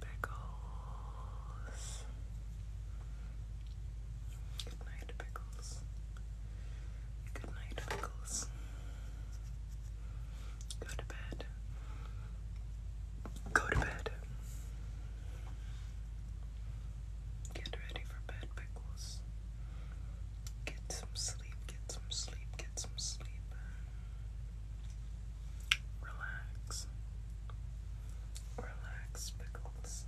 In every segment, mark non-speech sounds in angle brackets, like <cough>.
Pickles. Good night, Pickles. Good night, Pickles. Go to bed. Go to bed. Get ready for bed, Pickles. Get some sleep, get some sleep, get some sleep. Relax. Relax, pickles.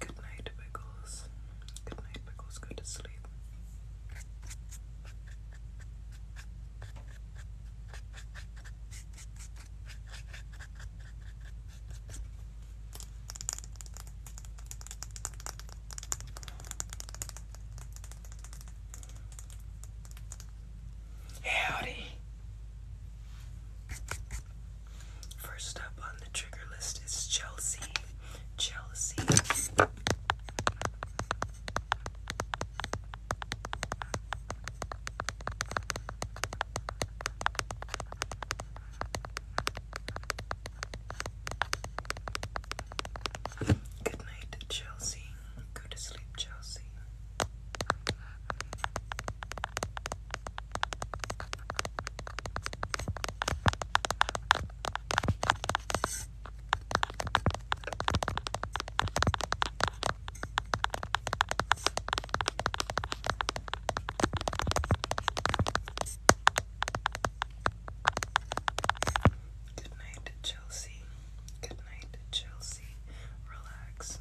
Good night, Pickles. Good night, Pickles. Go to sleep. Howdy. First up on the trigger list is Chelsea. Chelsea. Good night, Chelsea. Go to sleep, Chelsea. Good night, Chelsea. Good night, Chelsea. Relax.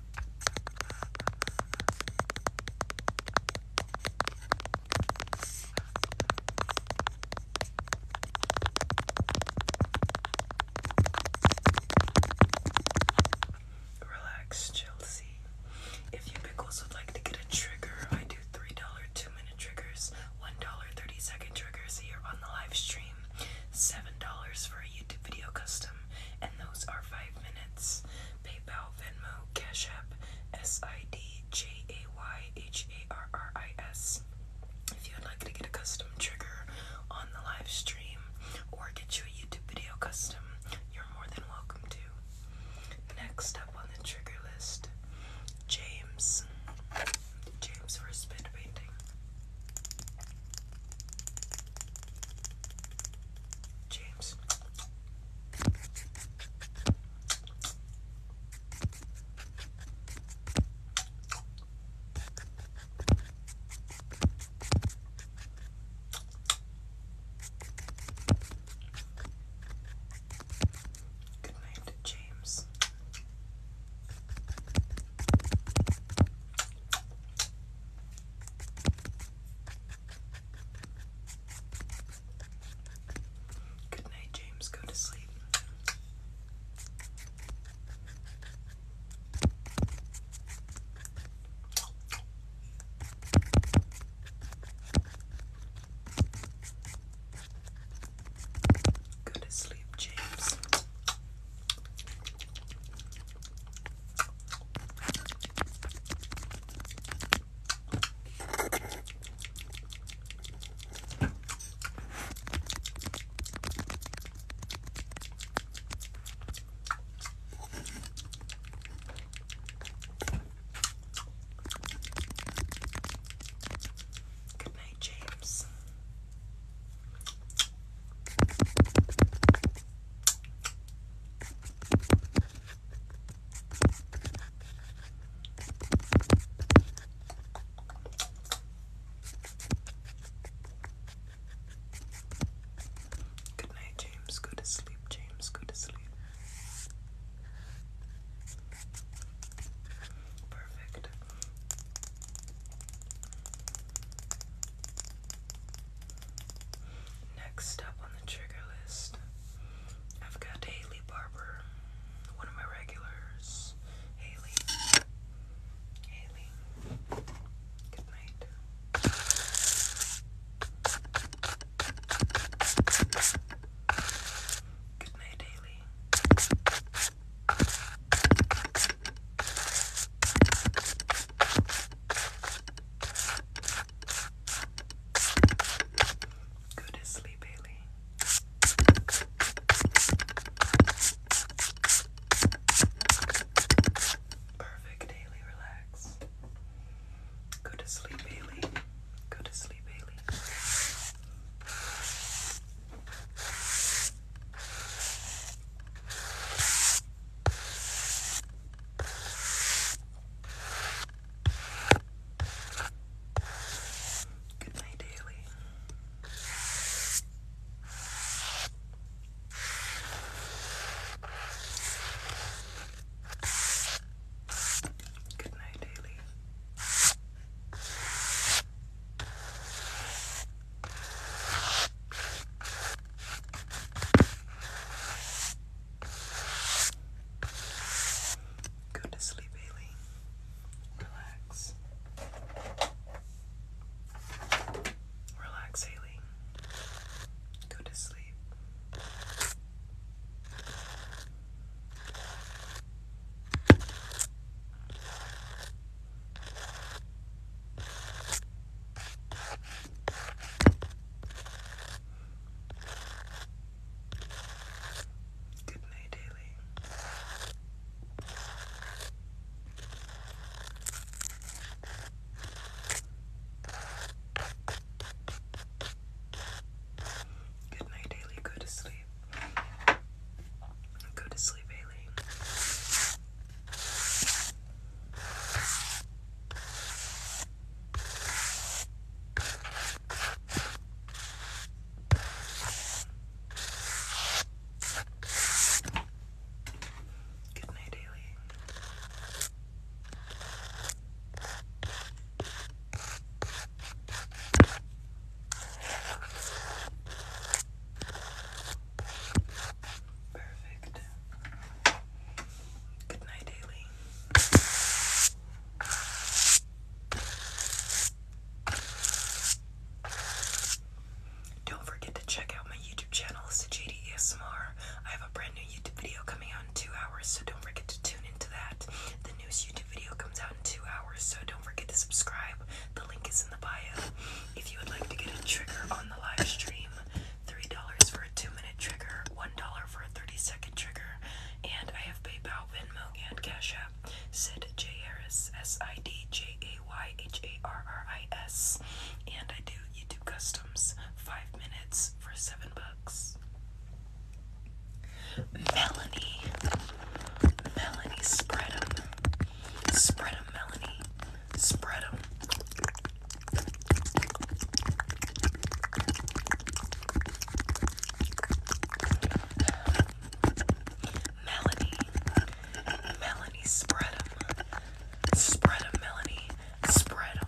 Relax, Chelsea. If you pickles would like to get a trigger, I do $3 two minute triggers, $1 30 second triggers here on the live stream, $7 for a YouTube video custom, and those are five minutes. PayPal, Venmo, Cash App, S I D J A Y H A R R I S. If you would like to get a custom trigger on the live stream or get you a YouTube video custom, you're more than welcome to. Next up on the trigger list, James. James for a painting. James. Good night, James. Good night, James. Go to sleep. Go to sleep, James. Good night, James. Good night, James. Go to sleep, James. Go to sleep. Perfect. Next up on the trigger list I've got Haley Barber, one of my regulars. Haley. Haley. Good night. Good night, Haley. Go to sleep, Bailey. Perfect, Haley, relax. Go to sleep, Bailey. Go to sleep, Bailey. Good night, Daily. Good night, Daily. Go to sleep, Haley. Relax. Relax, Haley. Go to sleep. Good night, Daily. Good night, Go to sleep. Go to sleep, daily. Good night, Perfect. Good night, don't forget to check out my YouTube channel, Sajidi ASMR. I have a brand new YouTube video coming out in two hours, so don't forget to tune into that. The newest YouTube video comes out in two hours, so don't forget to subscribe. The link is in the bio. If you would like to get a trigger on the live stream, $3 for a 2 minute trigger, $1 for a 30 second trigger, and I have PayPal, Venmo, and Cash App. Sid J. Harris, S I D J A Y H A R R I S. And I do YouTube customs, five minutes for seven bucks. Melanie. Melanie, spread 'em, spread 'em, Melanie. spread 'em. Melanie. Melanie, spread them. Spread them, Melanie. Spread them.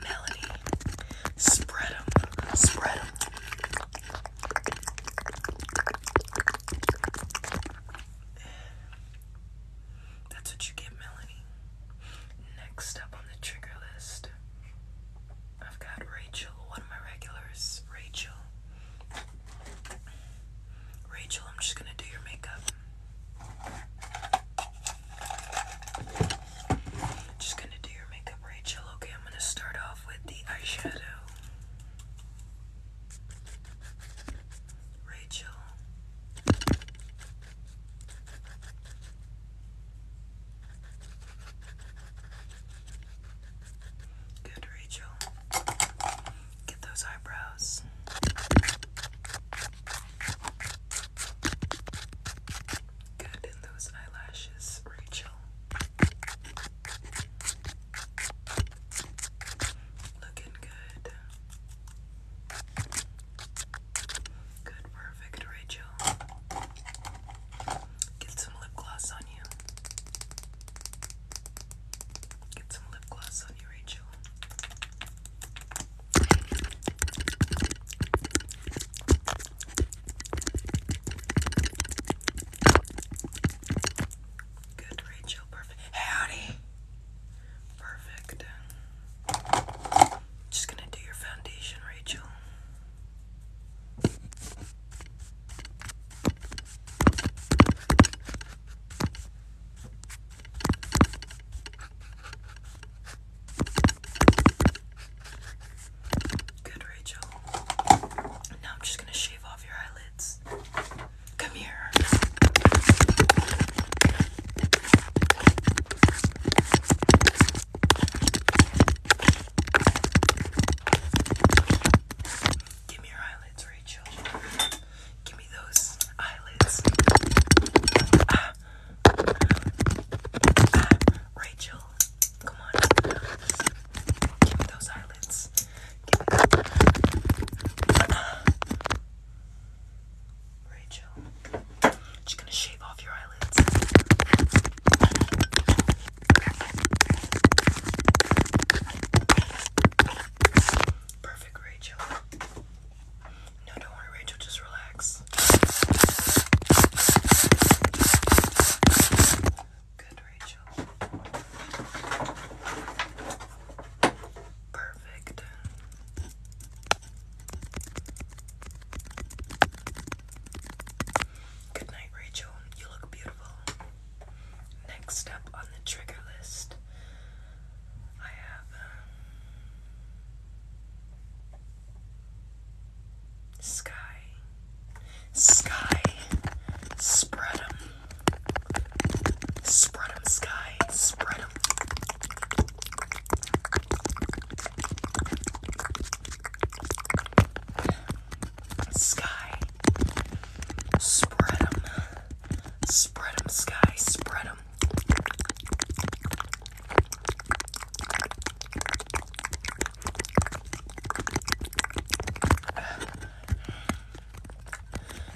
Melanie, spread them, spread them. That's what you get, Melanie. Next up on the trigger list, I've got Rachel, one of my regulars. Rachel. Rachel, I'm just gonna do your makeup. Just gonna do your makeup, Rachel. Okay, I'm gonna start off with the eyeshadow. Rachel. Good, Rachel. Get those eyebrows. Good in those eyelashes, Rachel. Looking good. Good, perfect, Rachel. Get some lip gloss on you. Get some lip gloss on you, Rachel. Good, Rachel. Perfect. Howdy. Perfect. Just gonna do your foundation, Rachel. Good, Rachel. Now I'm just gonna shave off your eyelids. Come here. Give me your eyelids, Rachel. Give me those eyelids. Ah, uh, Rachel, come on. Give me those eyelids. Rachel, I'm just gonna shave off your eyelids. Perfect, Rachel. No, don't worry, Rachel, just relax. Good, Rachel. Perfect. Good night, Rachel. You look beautiful. Next up on the trigger list, I have. Um, Sky. Sky. Spread 'em. Spread 'em, Sky. Spread 'em. Sky. Spread 'em. Spread 'em, Sky. Spread 'em.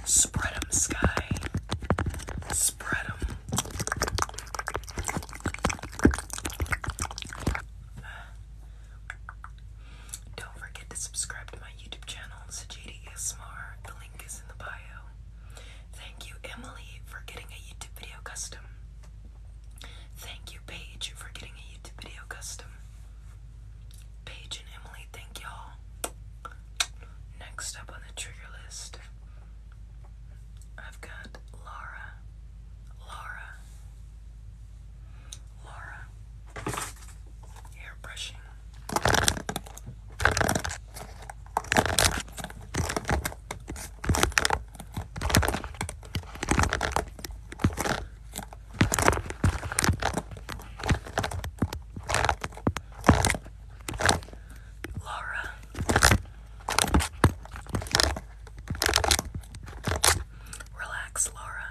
Spread them, Sky. Spread them. Don't forget to subscribe to my YouTube channel, Sajidi The link is in the bio. Thank you, Emily, for getting a YouTube video custom. Thank you, Paige, for getting a YouTube video custom. Paige and Emily, thank y'all. Next up on the trigger list, I've got Laura. Laura. Laura. Hair Laura. Relax, Laura.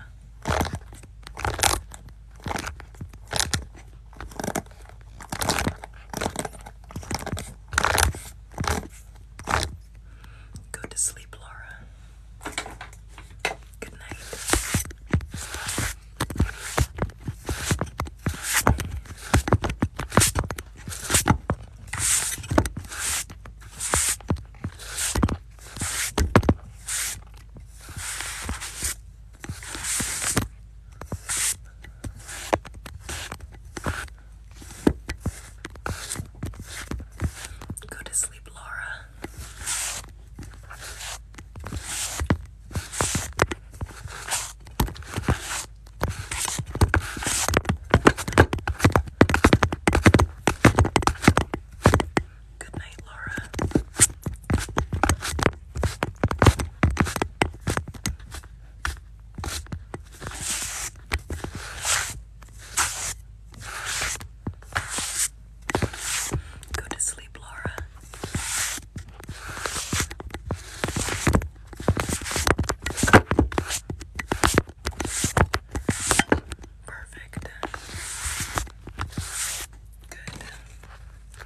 Go to sleep, Laura. Good night. Go to sleep, Laura. Good night, Laura. Go to sleep, Laura. Perfect. Good.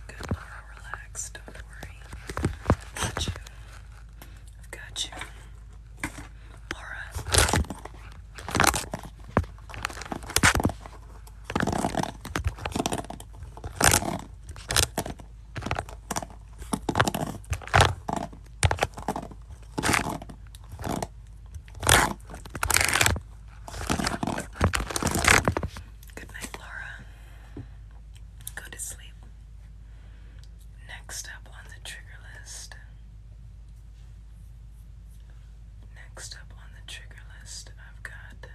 Good, Laura. Relax. Don't worry. Got you. I've got you. Alright. Good night, Laura. Go to sleep. Next up on the trigger list. Next up on the trigger list, I've got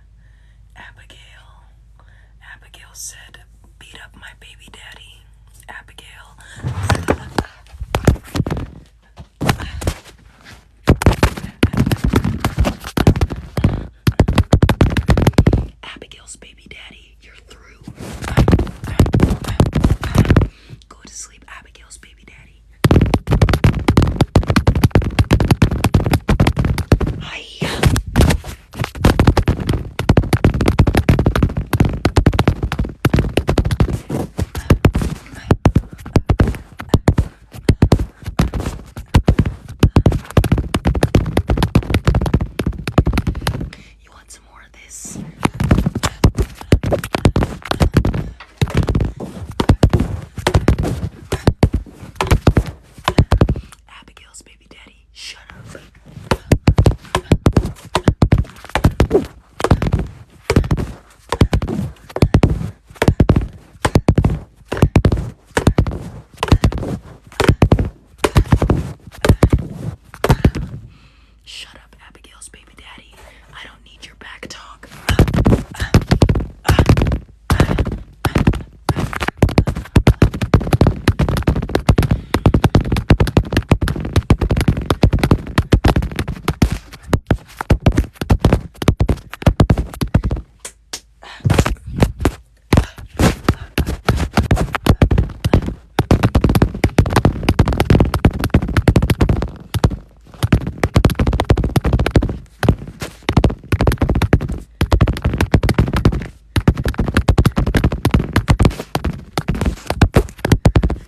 Abigail. Abigail said, Beat up my baby daddy. Abigail. Abigail's baby daddy you're through. Go to sleep, Abigail's baby daddy. Hi. You want some more of this. Abigail's baby daddy, shut up. Shut up, Abigail's baby daddy. I don't need your back talk.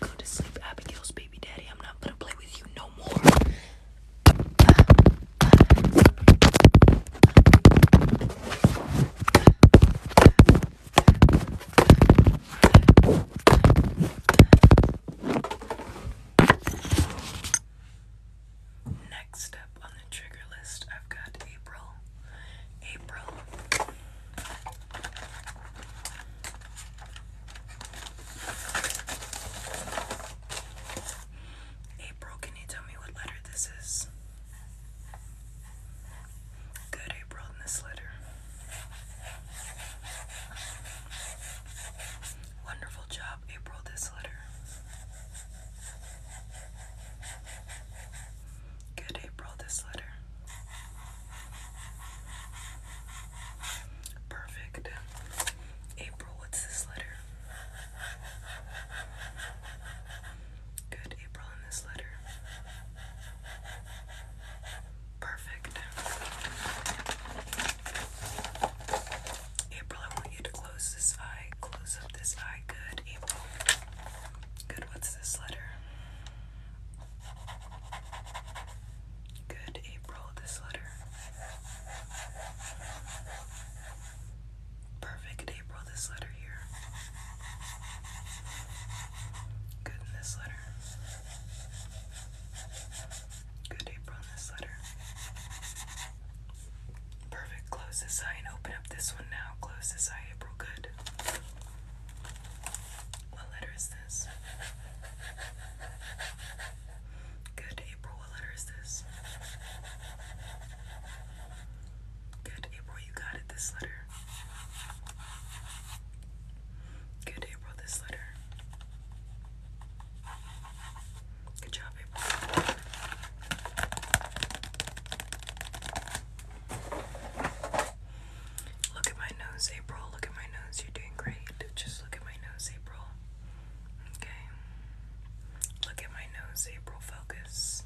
Go to sleep, Abigail's baby daddy. I'm not gonna play with you no more. Next up on the trigger list, I've got April. April. April, can you tell me what letter this is? Good April in this letter. Wonderful job, April, this letter. Good April, this letter. Perfect. April, what's this letter? Good April in this letter. Perfect. April, I want you to close this eye. Close up this eye. Good, April. Good, what's this letter? Good, April, this letter. Perfect, April, this letter here. Good in this letter. Good April in this letter. Perfect. Close this eye and open up this one now. Close this eye, April. Good. What letter is this? Good, April. What letter is this? Good, April. You got it. This letter. Good, April, this letter. Good job, April. Look at my nose, April. Look at my nose. You're doing great. Just look at my nose, April. Okay. Look at my nose, April. Focus.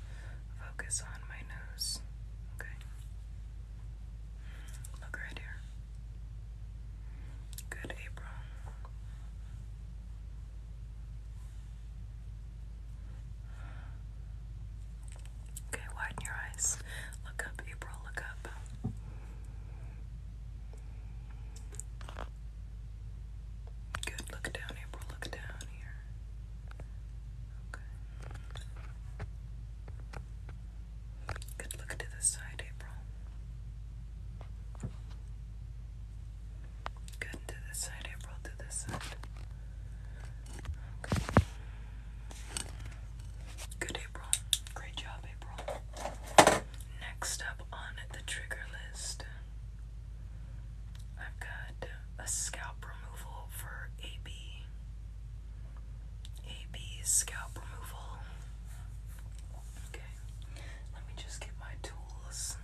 Focus on my nose. Okay. Look right here. Good apron. Okay, widen your eyes. Look up, April, look up. Good, look down, April, look down here. Okay. Good look to the side, April. Good to the side, April, to the side. Good, April. Great job, April. Next up on the trigger list, I've got a scalp removal for AB. AB scalp removal. Okay, let me just get my tools.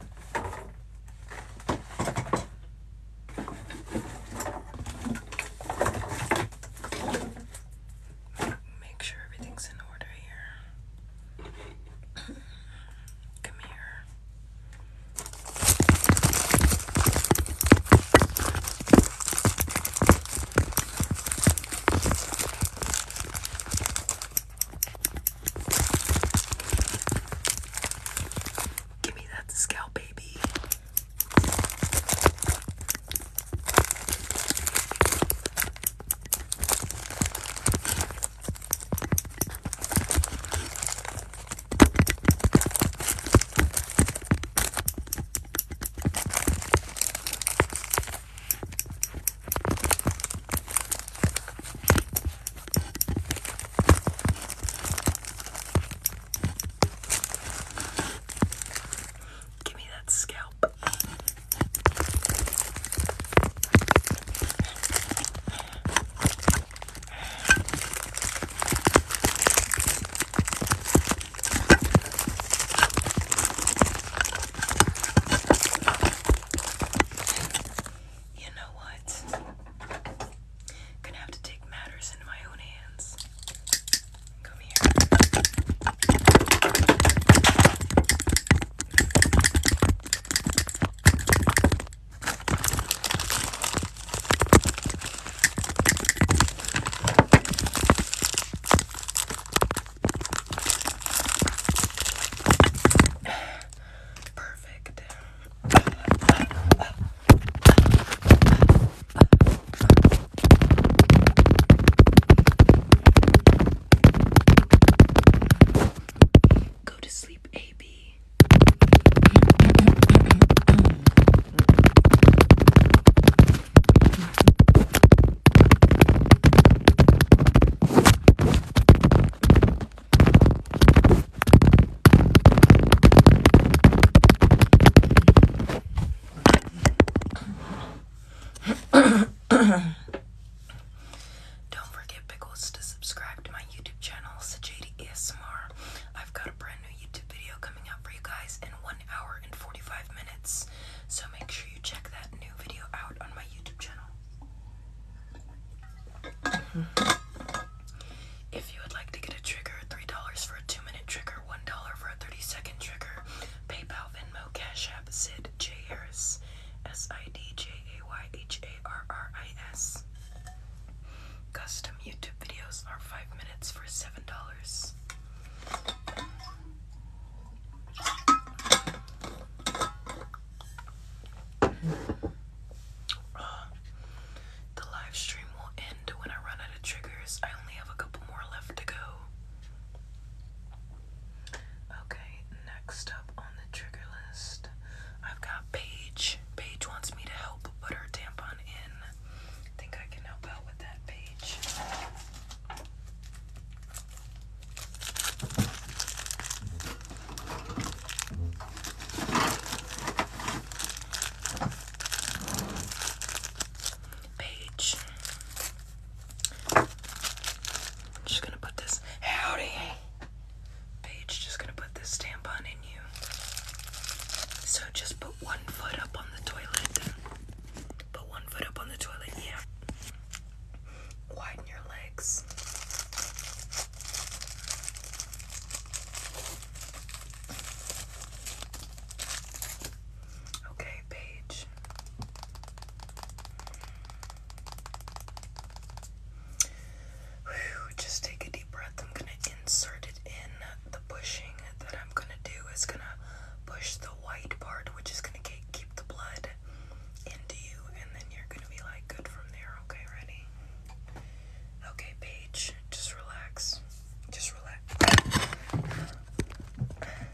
Make sure everything's in order here. <clears throat> Come here. Give me that scalp, baby. Give me that scalp. You know what? Gonna have to take matters into my own hands. Come here. Perfect. Go to sleep, AB. Don't forget, Pickles, to subscribe to my YouTube channel, Sajadi I've got a brand new YouTube video coming out for you guys in 1 hour and 45 minutes. So make sure you check that new video out on my YouTube channel. Mm-hmm. if you would like to get a trigger, $3 for a 2 minute trigger, $1 for a 30 second trigger, PayPal, Venmo, Cash App, Sid J. Harris, S I D J A Y H A R R I S. Custom YouTube videos are 5 minutes for $7. The live stream will end when I run out of triggers. I only have a couple more left to go. Okay, next up on the trigger list, I've got Paige. Paige wants me to help put her tampon in. I think I can help out with that page. Page. I'm just gonna put this howdy. Page just gonna put this stamp on in you. So just put one foot up on the toilet. Put one foot up on the toilet, yeah. Widen your legs. Okay, Paige. just take a deep breath. I'm going to insert it in the pushing that I'm going to do. It's going to push the white part, which is gonna keep the blood into you, and then you're gonna be like good from there. Okay, ready? Okay, Paige, just relax. Just relax. I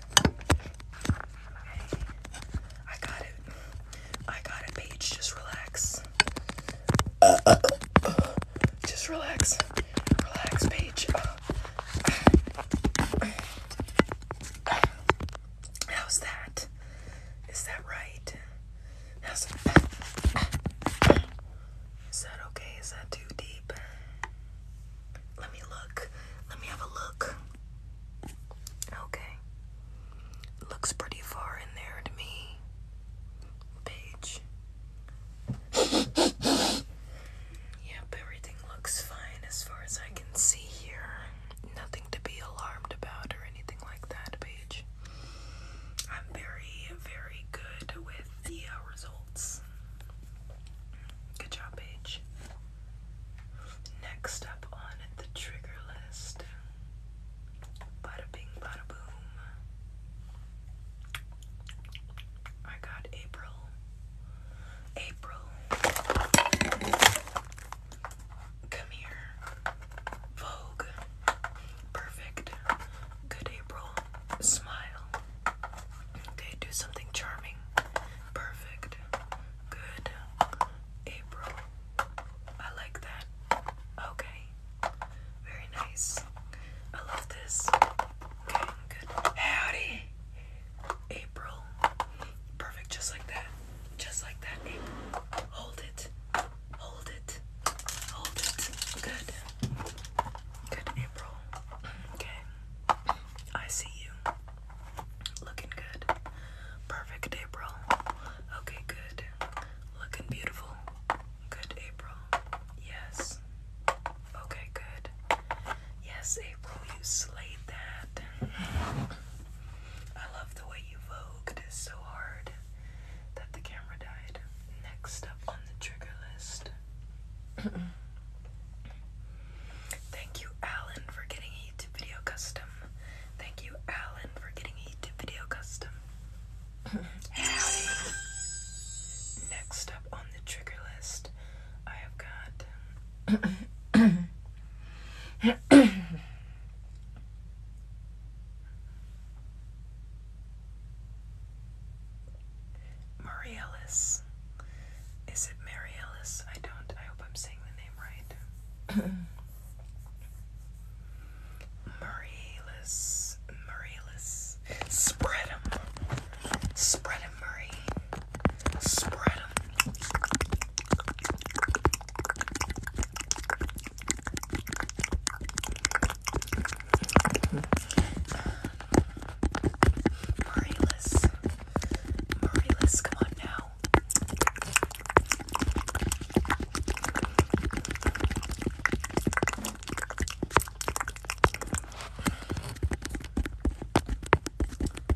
got it. I got it, Paige. Just relax. Just relax. Relax, Paige. How's that? Is that right? How's that okay? Is that too deep? Let me look. Let me have a look. Okay. Looks pretty far in there to me. Page. Yep, everything looks fine as far as I can see here. Nothing to be alarmed about or anything like that, Paige. I'm very, very good with the uh, results. Good job, Paige. Next up on the trigger list bada bing, bada boom. I got April April, come here. Vogue, perfect. Good April, smile. Okay, do something charming. Perfect. Good April. I like that. Okay. Very nice. I love this. Good. Howdy. April. Perfect. Just like that. Just like that, Hold it. Hold it. Hold it. Good. Good, April. Okay. I see you. Looking good. Perfect, April. Okay, good. Looking beautiful. Good, April. Yes. Okay, good. Yes, April, you slayed that. I love the way you vogued so hard that the camera died. Next up on the trigger list. <clears throat> Thank you, Alan, for getting a YouTube video custom. Thank you, Alan, for getting a YouTube video custom. <laughs> Next up on the trigger list, I have got <coughs> Mariellis. Is it Mariellis? I don't. I hope I'm saying the name right. <coughs> Mariellis. Mariellis. Spread 'em. Spread 'em, Murray. Spread them. Marilis. Marilis, come on now.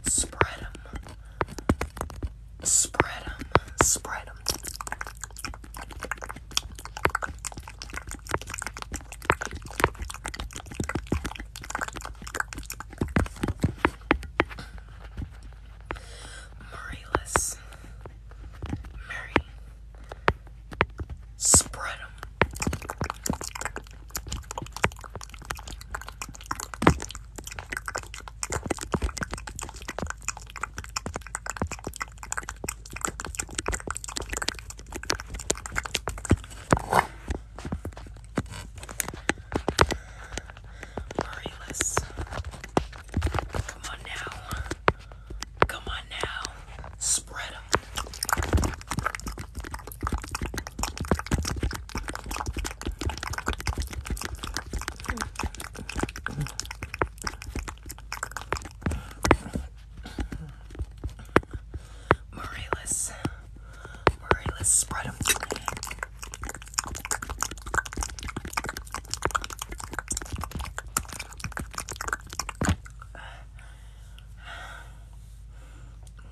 Spread them. Spread them. Spread them. Mary. Spread Murrayless. Come on now. Come on now. Spread them. Murray, let's, Murray, let's spread them.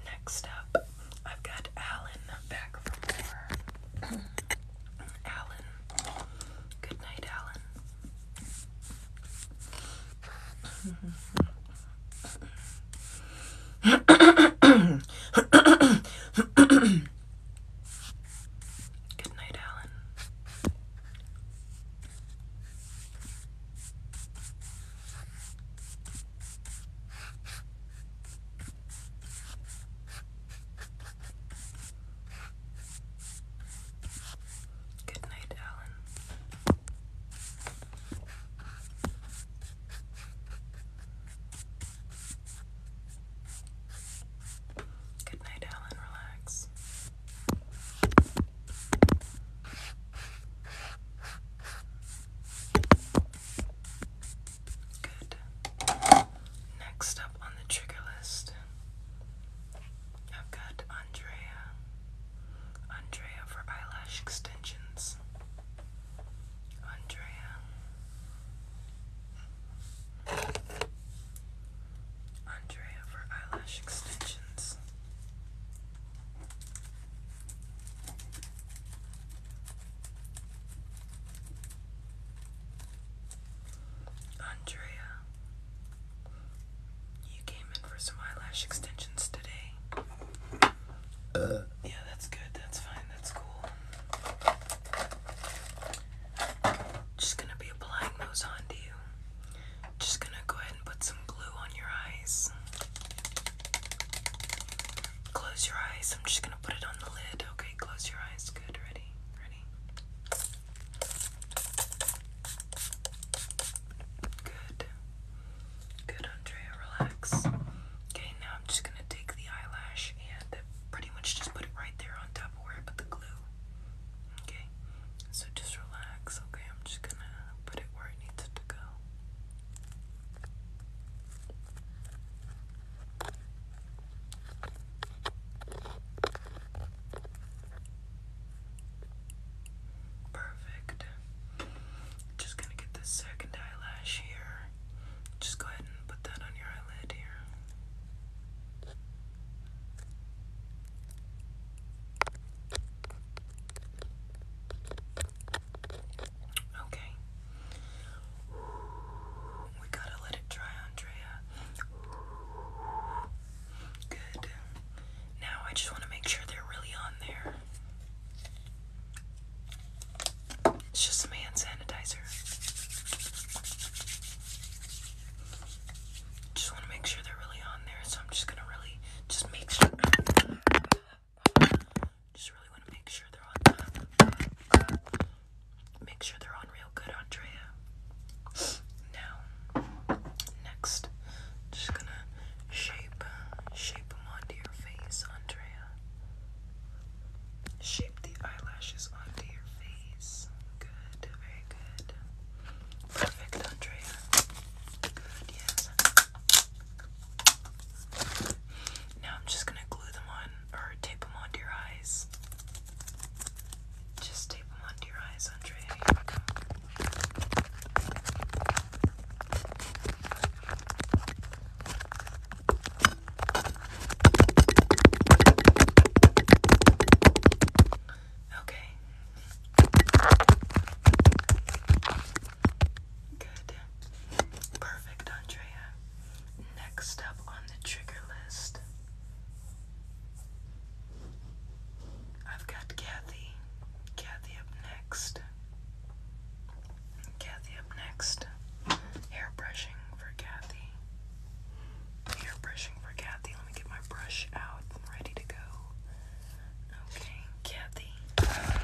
Next up, I've got Alan back for more. <clears throat> Alan. Good night, Alan. Good night, Alan. Good night, Alan. Good night, Alan. Relax. Good. Next up on the trigger list, I've got Andrea. Andrea for eyelash extensions. Andrea. Andrea for eyelash extensions. Andrea, you came in for some eyelash extensions today. Uh. Yeah, that's good. That's fine. That's cool. Just gonna be applying those onto you. Just gonna go ahead and put some glue on your eyes. Close your eyes. I'm just gonna put it on the lid. Okay, close your eyes. Good. Ready? Ready? Good. Good, Andrea. Relax. Okay, now I'm just gonna take the eyelash and pretty much just put it right there on top of where I put the glue. Okay, so just relax. Okay, I'm just gonna put it where it needs to go. Perfect. Just gonna get this second eyelash here. Just go ahead and put that on your eyelid here. Okay. We gotta let it dry, Andrea. Good. Now I just want to make sure they're really on there. It's just some hand sanitizer. Just want to make sure they're really on there, so I'm just gonna really just make sure up. Just really want to make sure they're on top. Make sure they're on real good, Andrea. Now, next, just gonna shape, shape them onto your face, Andrea. Shape the eyelashes onto your face. Good, very good. Perfect, Andrea. Good, yes. Now I'm just gonna glue them on or tape them onto your eyes. Just tape them onto your eyes, Andre. Okay. Good. Perfect, Andrea. Next up on the trigger list, I've got Kathy. Kathy up next. Kathy up next. Hair brushing for Kathy. Hair brushing for Kathy. Let me get my brush out. I'm ready to go. Okay, Kathy.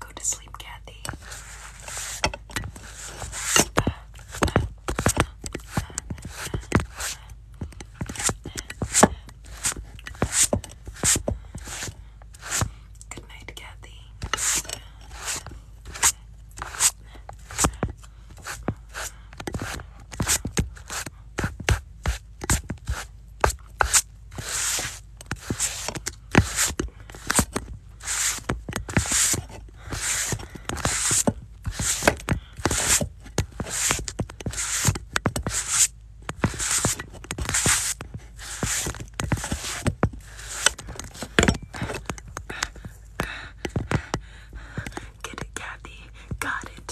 Go to sleep, Kathy. Good night, Kathy. Get it, Kathy. Got it.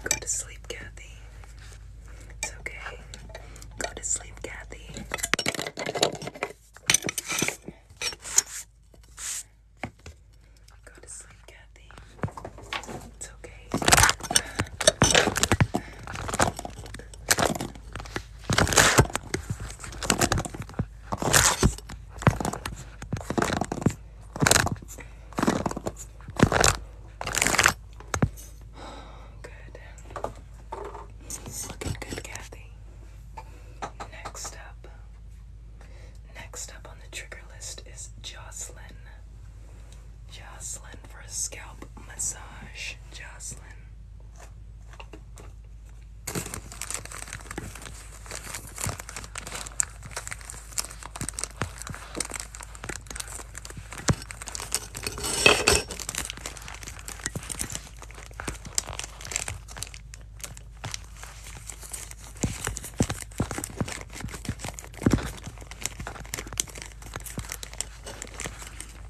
Go to sleep, Kathy. It's okay. Go to sleep, Kathy. Go to sleep, Kathy. It's okay. Good. Looking good, Kathy. Next up. Next up on the trigger list is Jocelyn. Jocelyn for a scalp massage. Jocelyn.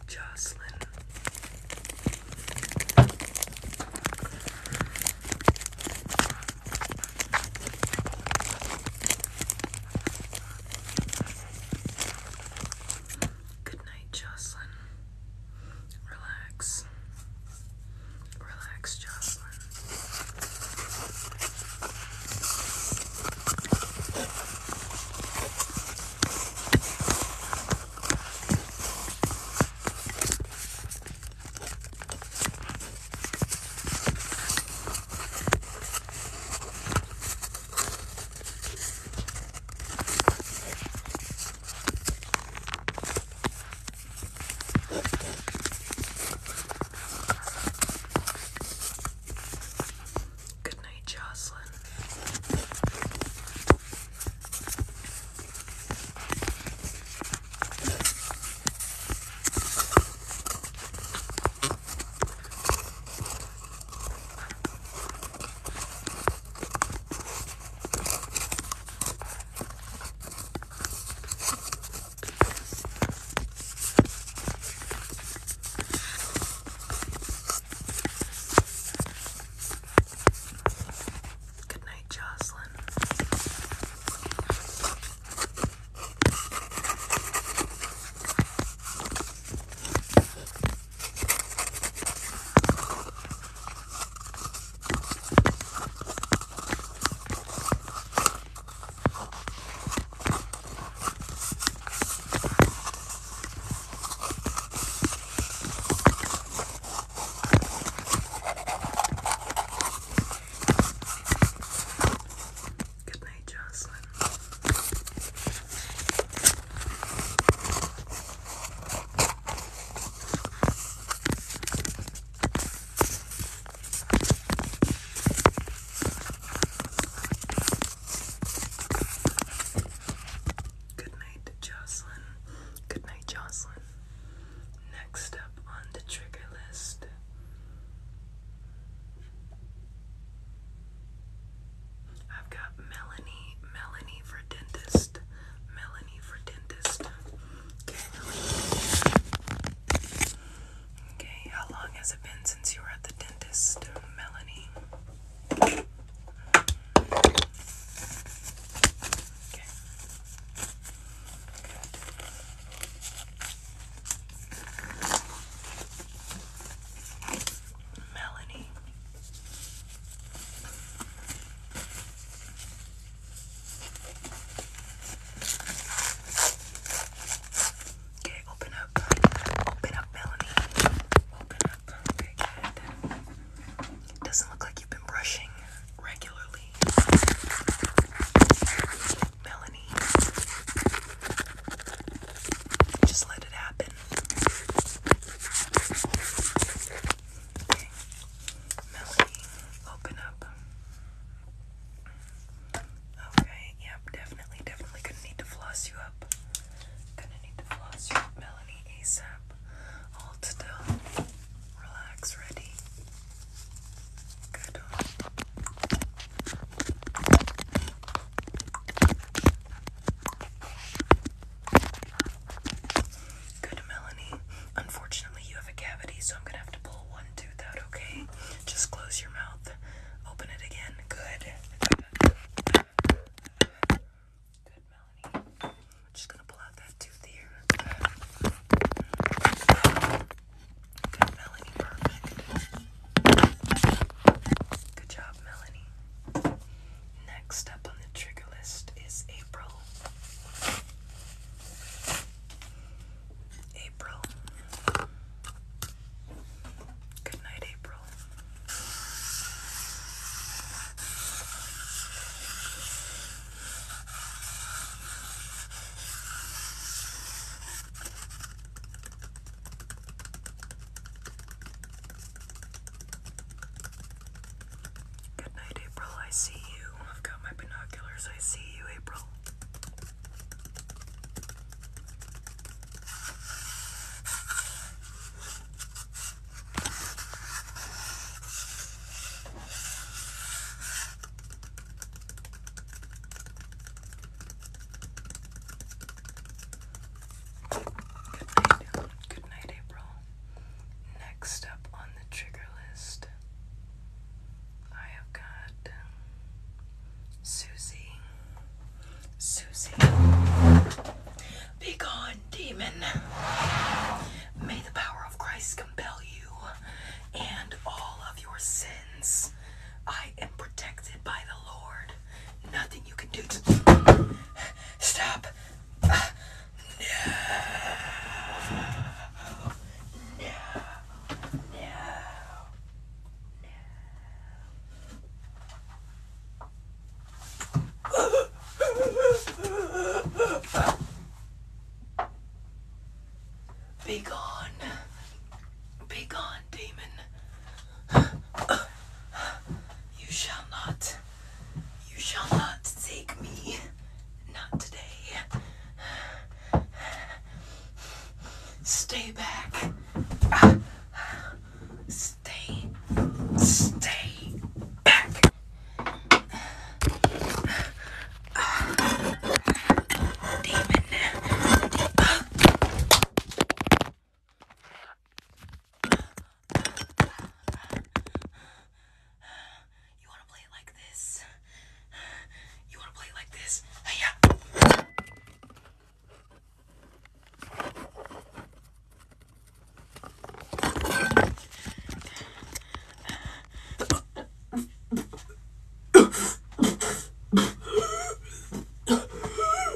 Jocelyn. Good night, Jocelyn. Relax. Relax, Jocelyn. Good night, Jocelyn. Good night, Jocelyn. Good night, Jocelyn. Good night, Jocelyn. Good night, Jocelyn. Next up on the trigger list. I've got Melanie, Melanie for dentist, Melanie for dentist. Okay. Okay, how long has it been since you were at the dentist, Melanie? Melanie. Okay, open up. Open up, Melanie. Open up. Okay, good. It doesn't look like you've been brushing regularly. Melanie. Just let it happen. Okay. open up. Okay, yep, definitely, definitely gonna need to floss you up. Gonna need to floss you Melanie ASAP. Hold still. Relax, ready. Good. Good, Melanie. Unfortunately, you have a cavity, so I'm gonna have to pull one tooth out, okay? Just close your mouth, open it again. Good. Good, Melanie. I'm just gonna pull out that tooth here. Good, Melanie. Perfect. Good job, Melanie. Next up on the trigger list is April. April. Good night, April. Good night, April. I see you. I've got my binoculars. I see you, April. Good night. Good night, April. Next up on the trigger list, I have got Susie. Susie. Be gone, demon. May the power of Christ compel you and all of your sins. I am protected by the Lord. Nothing you can do to Stop. no. No. No. no. Be gone. demon. You shall not. You shall not take me. Not today. Stay back. Stay. Stay back. Demon. You want to play it like this? You want to play it like this? Hey, yeah.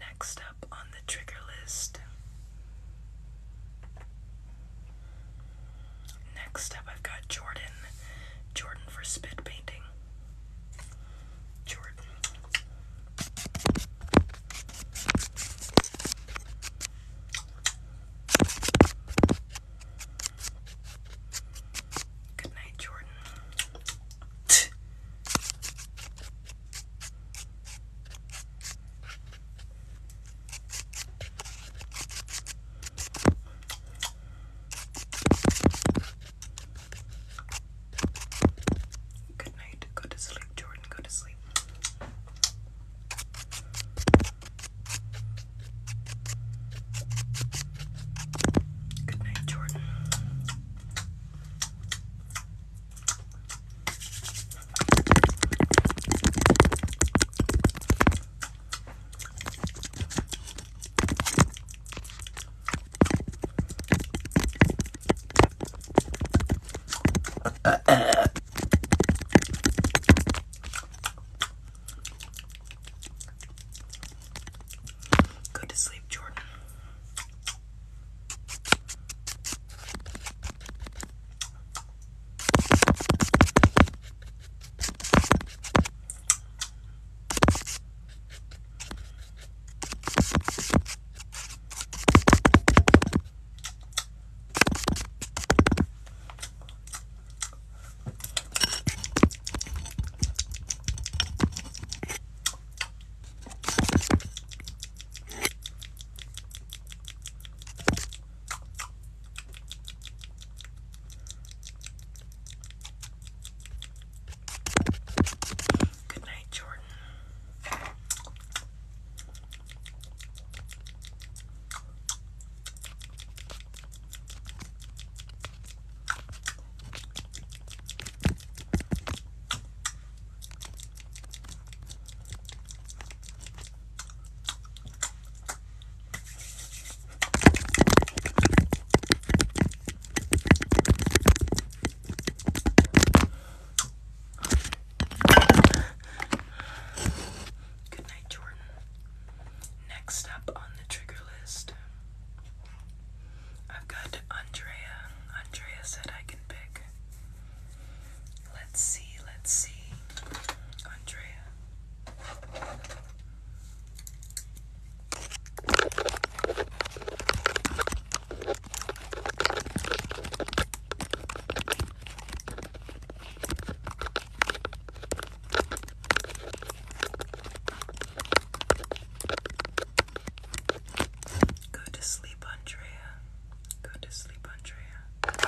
Next up on the trigger list. Next up, I've got Jordan. Jordan for spit painting. Jordan. Good night, Jordan. Good night. Go to sleep, Jordan. Go to sleep. Good night, Jordan. Go to sleep, Jordan. Good night, Jordan. Good night, Jordan next up on the trigger list, I've got Andrea. Andrea said I can pick. Let's see, let's see. Andrea. Go to sleep, Andrea. Go to sleep, Andrea.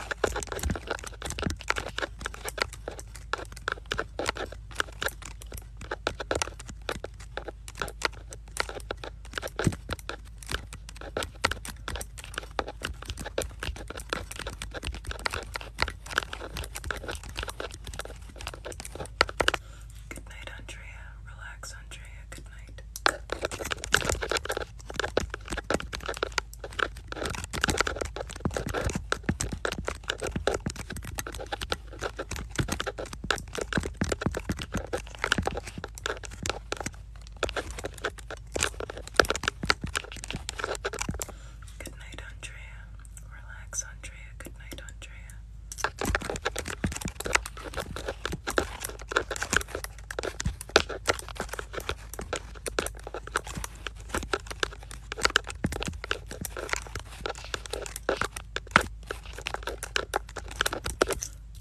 Good night, Andrea. Relax, Andrea. Good night. Good night, Andrea. Relax, Andrea. Good night, Andrea.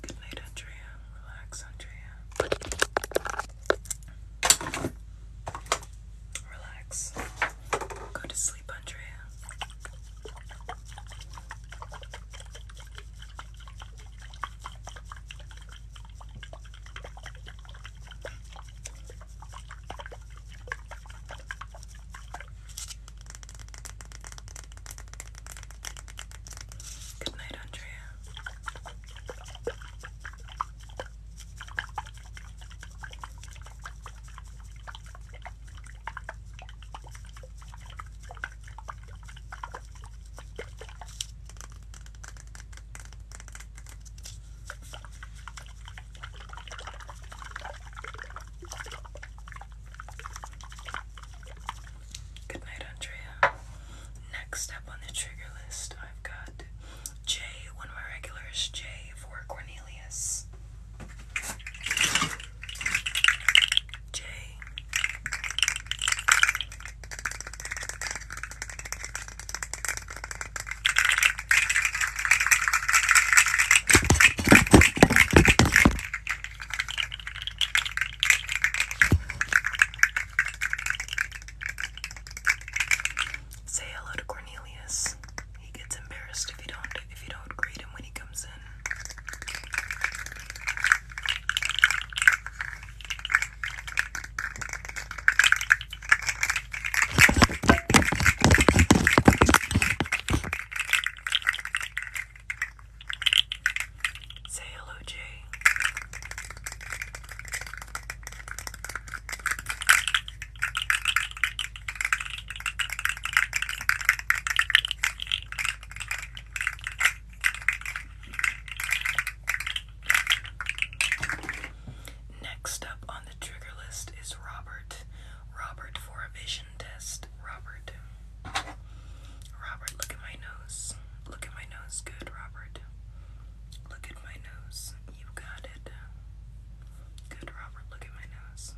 Good night, Andrea. Relax, Andrea. Relax. Go to sleep, Andrea. Good night, Andrea. Good night, Andrea. Next up on the trigger list, I've got Jay. one of my regulars, Jay for Courtney Say hello to Cornelius. He gets embarrassed if you don't if you don't greet him when he comes in. Say hello, Jay. Next up on the trigger list is Robert. Robert for a vision test. Robert. Robert, look at my nose. Look at my nose. Good, Robert. Look at my nose. You got it. Good, Robert. Look at my nose.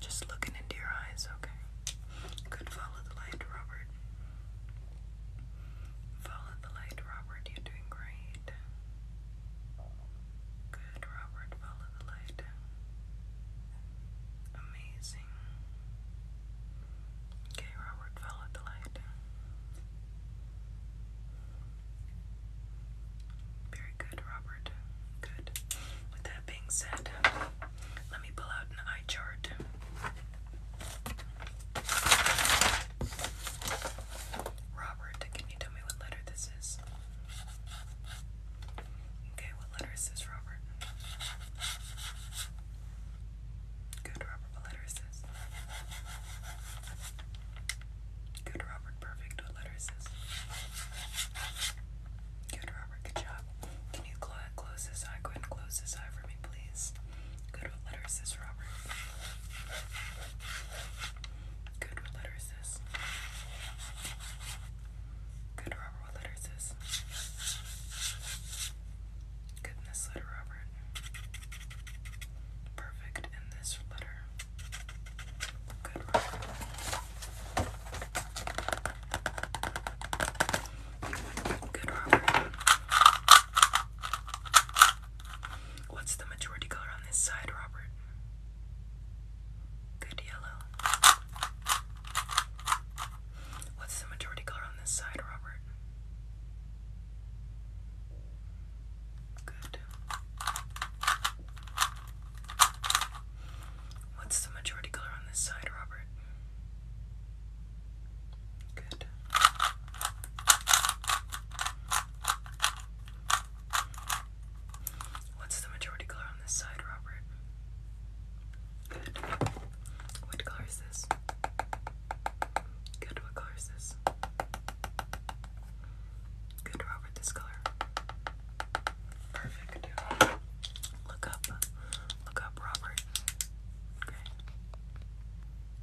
Just looking into your eyes, okay? Good, follow the light, Robert. Follow the light, Robert. You're doing great. Good, Robert. Follow the light. Amazing. Okay, Robert, follow the light. Very good, Robert. Good. With that being said, let me pull out an eye chart. Robert, can you tell me what letter this is? Okay, what letter is this, Robert? Good, Robert, what letter is this? Good, Robert, work perfect with lettuces. Good, Robert. Good job. Can you cl close this eye? Go ahead and close this eye for me, please. Good, what letter is this, Robert? Good, what letter is this? Good, what letter is this? Good, letter, Robert. Perfect, in this letter. What's the majority color on this side, Robert? Good yellow. What's the majority color on this side, Robert? Good. What's the majority color on this side, Robert? Good. What's the majority color on this side, Robert? Good. What color is this? Good. What color is this? Good row this color. Perfect. Look up. Look up, Robert. Okay.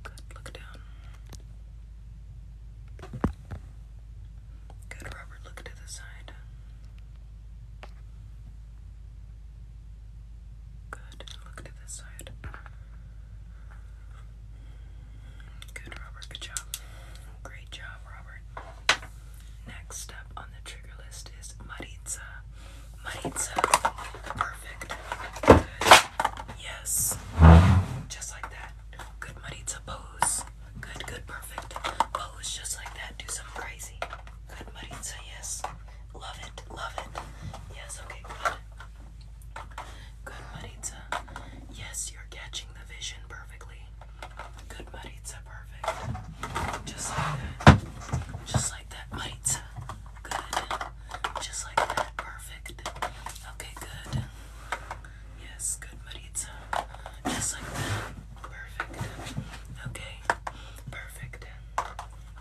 Good. Look down. Good, Robert. Look to the side. Good. Look to the side. Good, Robert. Good job. Great job, Robert. Next up on the trigger list is Maritza. Maritza. Perfect. Yes. Just like that. Good, Maritza. Pose. Good, good, perfect. Pose just like that. Do something crazy. Good, Maritza. Yes. Love it. Love it. Yes. Okay, good. Good, Maritza. Yes, you're catching the vision perfectly. Good maritza, perfect. Just like that. Just like that, maritza. Good. Just like that, perfect. Okay, good. Yes, good maritza. Just like that, perfect. Okay, perfect.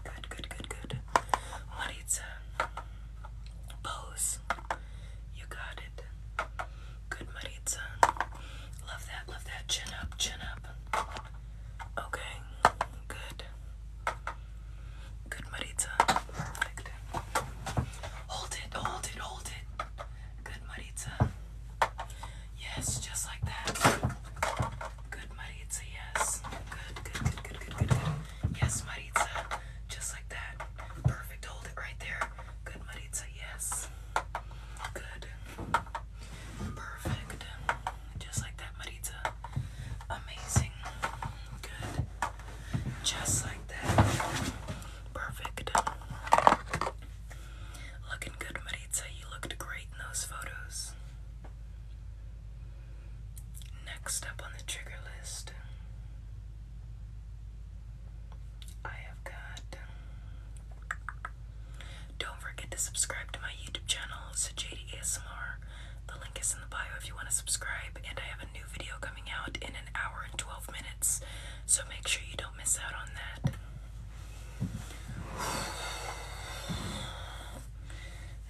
Good, good, good, good. Maritza, pose. You got it. Good, Maritza. Love that, love that. Chin up, chin up. Okay, good. Good, Maritza. Perfect. Hold it, hold it, hold it. Good, Maritza. Yes, just like that. Good, Maritza, yes. Good, good, good, good, good, good, Yes, Maritza. Just like that. Perfect. Hold it right there. Good, Maritza yes. Good. Perfect. Just like that, Marita. Amazing. Good. Just like that. Perfect. Looking good, Maritza. You looked great in those photos. Next up on the trigger list I have got. Don't forget to subscribe to my YouTube channel, Sajadi ASMR. The link is in the bio if you want to subscribe. And I have a new video coming out in an hour and 12 minutes, so make sure you don't miss out on that.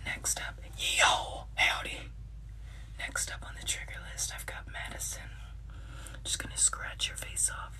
Next up, yo, howdy. Next up on the trigger list, I've got Madison. Just gonna scratch your face off.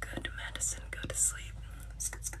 Good medicine, go to sleep. Sk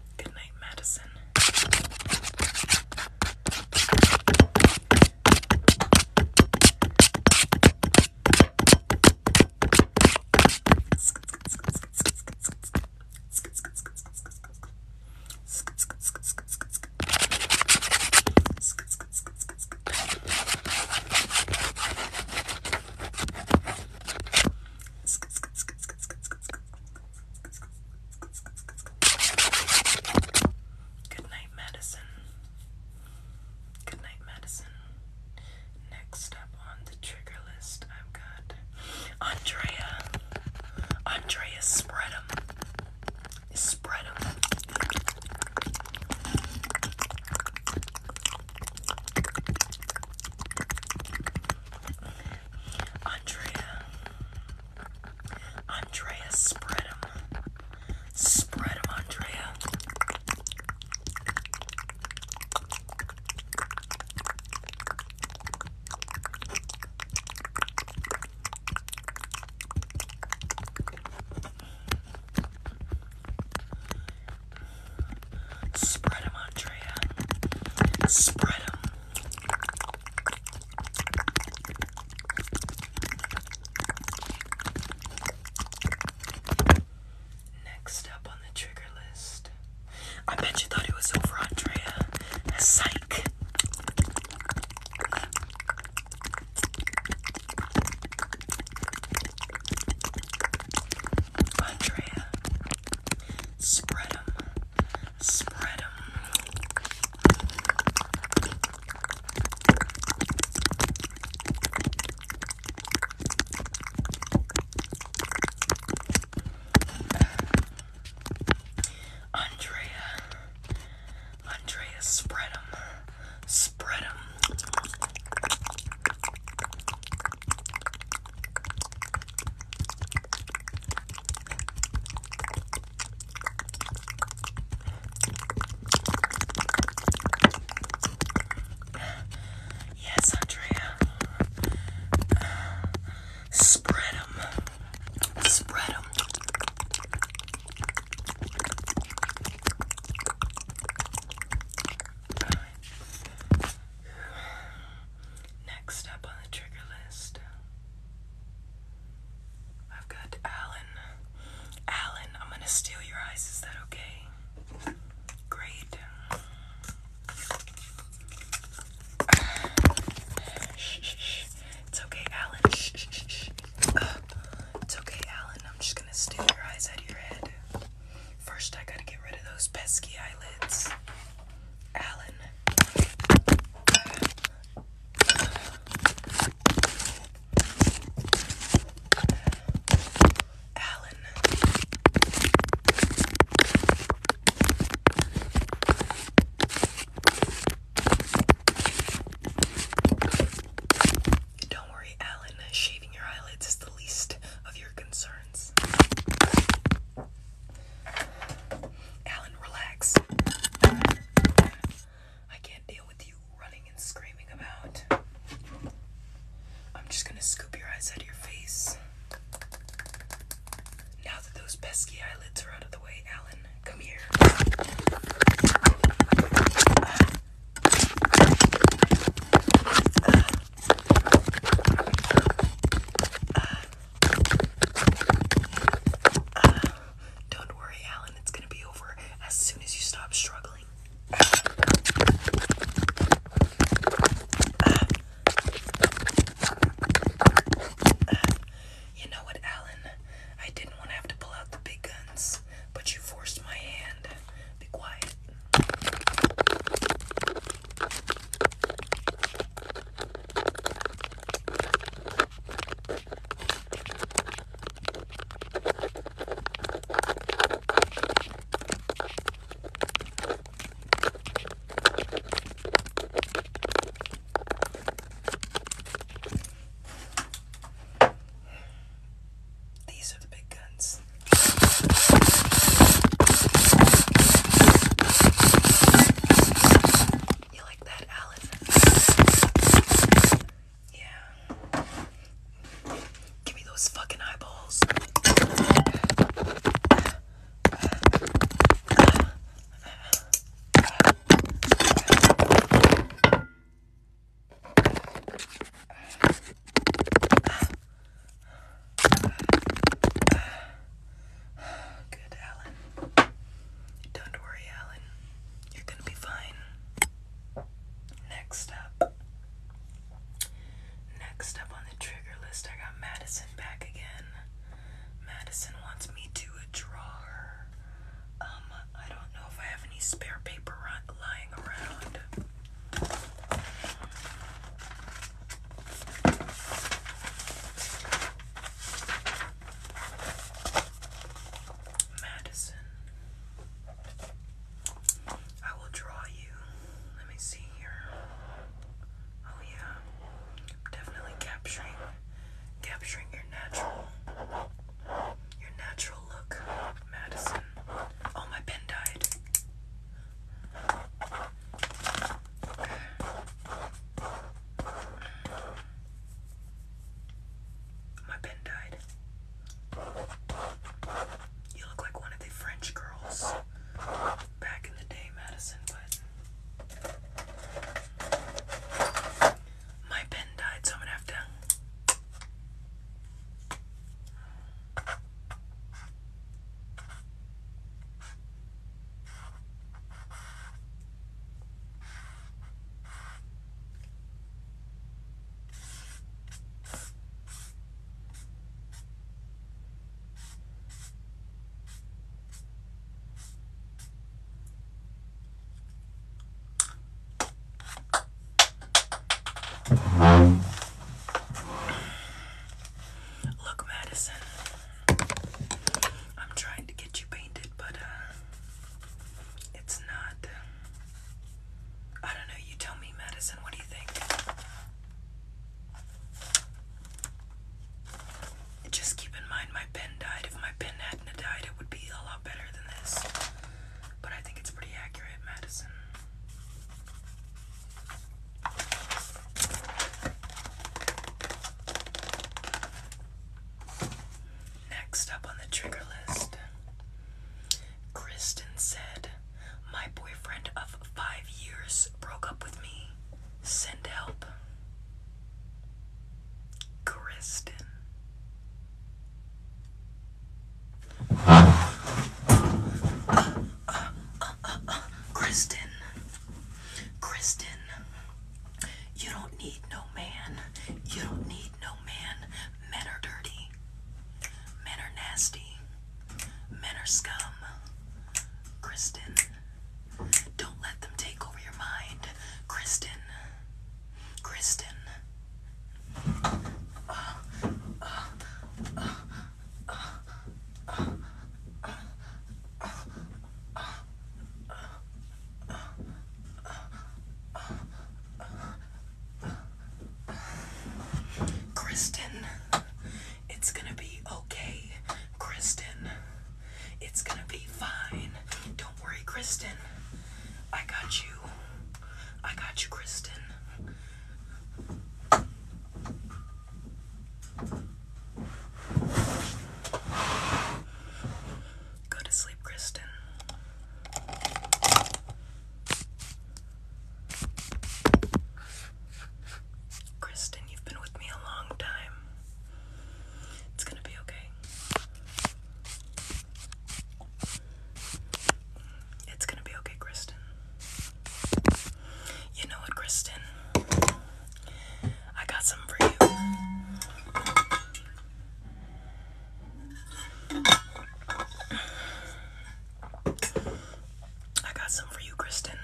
Good night, Madison. Good night, Madison. Good night, Madison. Next up on the trigger list, I've got Andrea. Andrea, spread them. Spread them. Andrea. Andrea, spread them. Spread them, Andrea. Spread Andrea. Spread Next up on the trigger list. I bet you thought it was over, Andrea. Psych. Andrea. spread 'em, spread 'em. Andrea. Andrea, spread 'em, them. Yes, Andrea. Uh, spread them. Spread them. Next up on the trigger list, I've got Alan. Alan, I'm gonna steal your eyes, is that okay? Great. shh, shh, shh. It's okay, Alan. Shh, shh, shh, it's okay, Alan. I'm just gonna steal your eyes out of your head. First, I gotta get rid of those pesky eyelids. Alan. Alan. Don't worry, Alan. Shaving your eyelids is the least of your concerns. Alan, relax. I can't deal with you running and screaming about. I'm just gonna scoop your eyes out of your face. Now that those pesky eyelids are out of the way, Alan, come here. Ah, don't worry, Alan, it's gonna be over as soon as you stop struggling. Ah, ah. you know what, Alan? I didn't want to have to pull out the big guns, but you forced my hand. Be quiet. These are the big guns. You like that, Alice? Yeah. Give me those fucking eyeballs. Good, Alan. Don't worry, Alan. You're gonna be fine. Next up. Next up on the trigger list, I got Madison back again. Madison wants me to draw her. Um, I don't know if I have any spare paper lying around. Madison. I will draw you. Let me see here. Oh yeah. definitely capturing capturing your natural your natural look, Madison. Oh my pen died. My pen died. You look like one of the French girls back in the day, Madison, but my pen died, so I'm gonna have to. Look, Madison, I'm trying to get you painted, but uh, it's not. Uh, I don't know. You tell me, Madison. What do you think? Just keep in mind my pen died. If my pen hadn't died, it would be a lot better than this. But I think it's pretty accurate, Madison. Next up on the trigger list, Kristen said, My boyfriend of five years broke up with me. Send help. Kristen. Kristen, Kristen, you don't need no man. You don't need no man. Men are dirty. Men are nasty. Men are scum. Kristen, don't let them take over your mind. Kristen, Kristen. Kristen, it's gonna be okay. Kristen, it's gonna be fine. Don't worry, Kristen. I got you. I got you, Kristen. Go to sleep, Kristen. Kristen, you've been with me a long time. It's gonna be okay. It's gonna be okay, Kristen. You know what, Kristen? I got some for you. I got some for you, Kristen.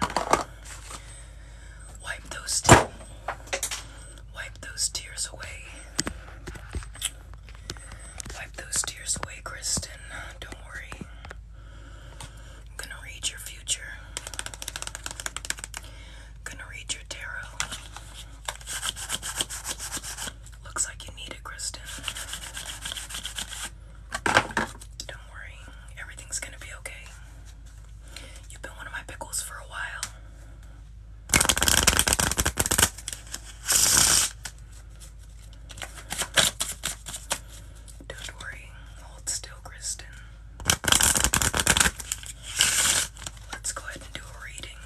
Wipe those tears. Wipe those tears away. Wipe those tears away, Kristen. Don't worry. I'm gonna read your future. gonna read your tarot. Looks like you need it, Kristen. Don't worry, everything's gonna be okay. You've been one of my pickles for a while. Don't worry, hold still, Kristen. Let's go ahead and do a reading.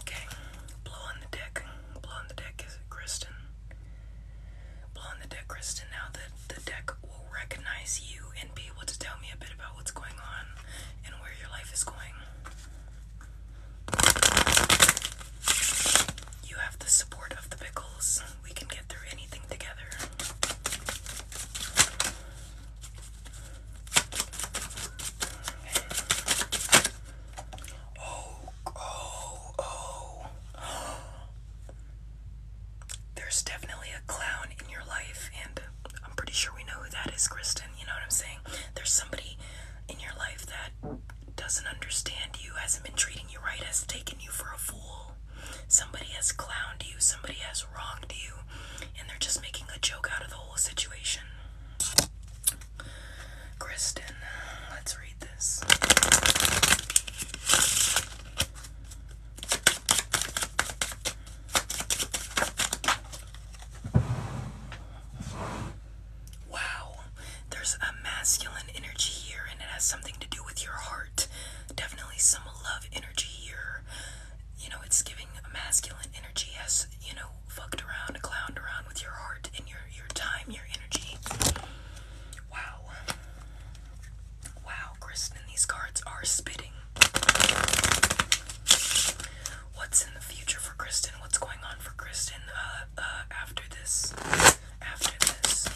Okay, blow the deck. Blow the deck, Kristen? Blow the deck, Kristen. Now that the deck will recognize you and be able to tell me a bit about what's going on and where your life is going. You have the support of the pickles we can get through anything together. Oh, oh, oh. <gasps> There's definitely a clown in your life, and I'm pretty sure we know who that is, Kristen. You know what I'm saying? There's somebody in your life that doesn't understand you, hasn't been treating you right, has taken you for a fool. Somebody has clowned you, somebody has wronged you, and they're just making a joke out of the whole situation. Kristen, let's read this. Wow, there's a masculine energy here, and it has something to do with your heart. Definitely some love energy here. You know, it's giving masculine energy as you know, fucked around, clowned around with your heart and your your time, your energy. Wow. Wow, Kristen, these cards are spitting. What's in the future for Kristen? What's going on for Kristen uh, uh, after this? After this.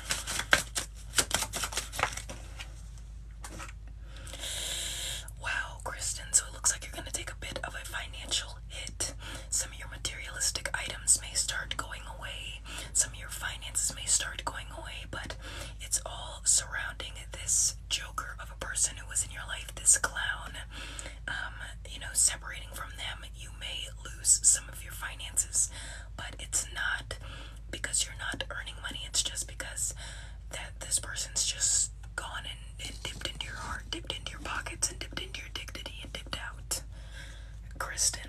Wow, Kristen, so it looks like you're going to take a bit of a financial hit. Some of your materialistic items may start going away, some of your finances may start going away, but it's all surrounding this joker of a person who was in your life, this clown. Um, you know, separating from them, you may lose some of your finances, but it's not because you're not earning money. It's just because that this person's just gone and, dipped into your heart, dipped into your pockets, and dipped into your dignity, and dipped out. Kristen.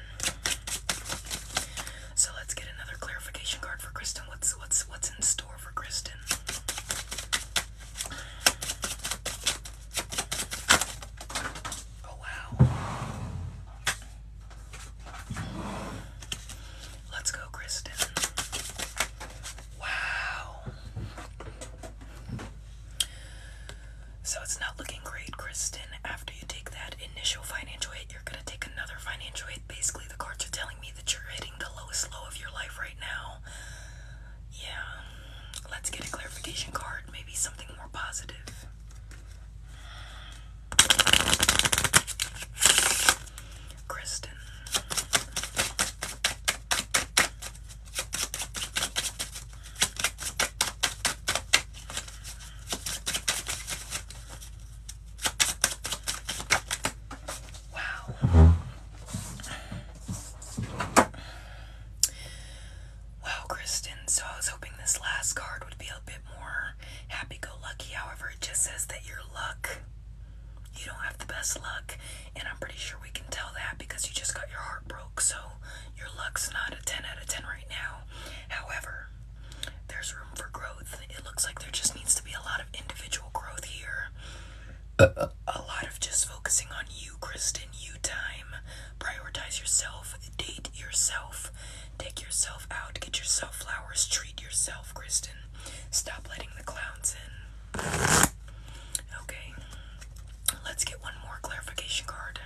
So let's get another clarification card for Kristen. What's what's what's in store for Kristen? Oh wow. Let's go, Kristen. Wow. So it's not looking great, Kristen. After you take that initial financial hit, you're gonna take another financial hit. Basically, the cards are telling me that you're hitting the lowest low of your life right now. Yeah. Let's get a clarification card, maybe something more positive. Kristen. Wow. Wow, Kristen. So I was hoping this last card would be a bit more happy go lucky. However, it just says that your luck, you don't have the best luck. And I'm pretty sure we can tell that because you just got your heart broke. So your luck's not a 10 out of 10 right now. However, there's room for growth. It looks like there just needs to be a lot of individual growth here. a lot of just focusing on you, Kristen. You time. Prioritize yourself. Date yourself. Take yourself out, get yourself flowers, treat yourself, Kristen. Stop letting the clowns in. Okay, let's get one more clarification card.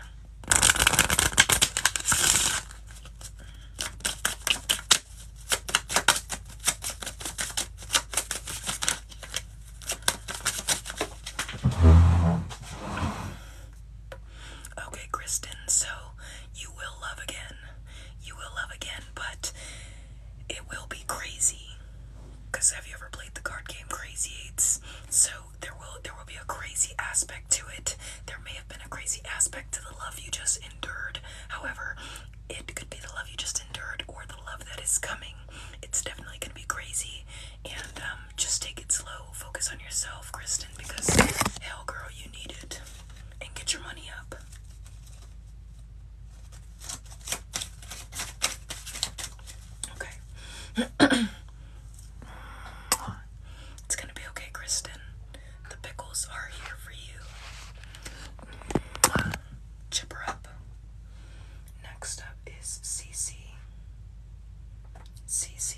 Okay, Kristen, so you will love again. You will love again, but it will be crazy. Cause have you ever played the card game Crazy Eights? So there will there will be a crazy aspect to it. There may have been a crazy aspect to the love you just endured. However, it could be the love you just endured or the love that is coming. It's definitely gonna be crazy. And um, just take it slow. Focus on yourself, Kristen, because hell, girl, you need it and get your money up. Okay. <coughs> it's gonna be okay, Kristen. The pickles are here for you. Chipper up. Next up is Cece. Cece,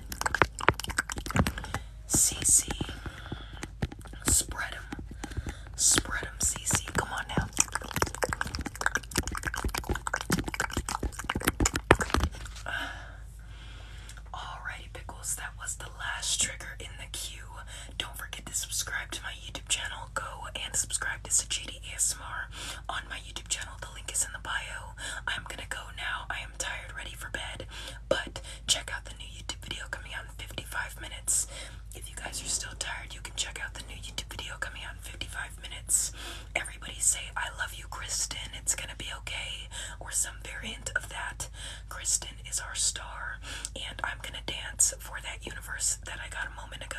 CC. Spread them. Spread them, CC. Come on now. Alrighty, Pickles. That was the last trigger in the queue. Don't forget to subscribe to my YouTube channel. Go and subscribe to Sajidi ASMR on my YouTube channel. The link is in the bio. I'm gonna go now. I am tired, ready for bed. But check out the new YouTube video coming out in 55 minutes. If you guys are still tired, you can check out the new YouTube video coming out in 55 minutes. Everybody say, I love you, Kristen. It's gonna be okay. Or some variant of that. Kristen is our star. And I'm gonna dance for that universe that I got a moment ago.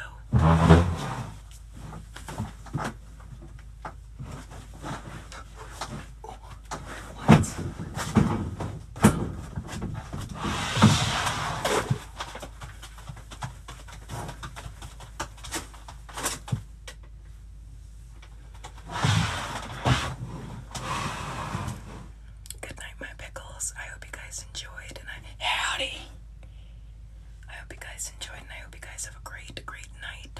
Good night, my pickles. I hope you guys enjoyed, and I howdy. I hope you guys enjoyed, and I hope you guys have a great, great night.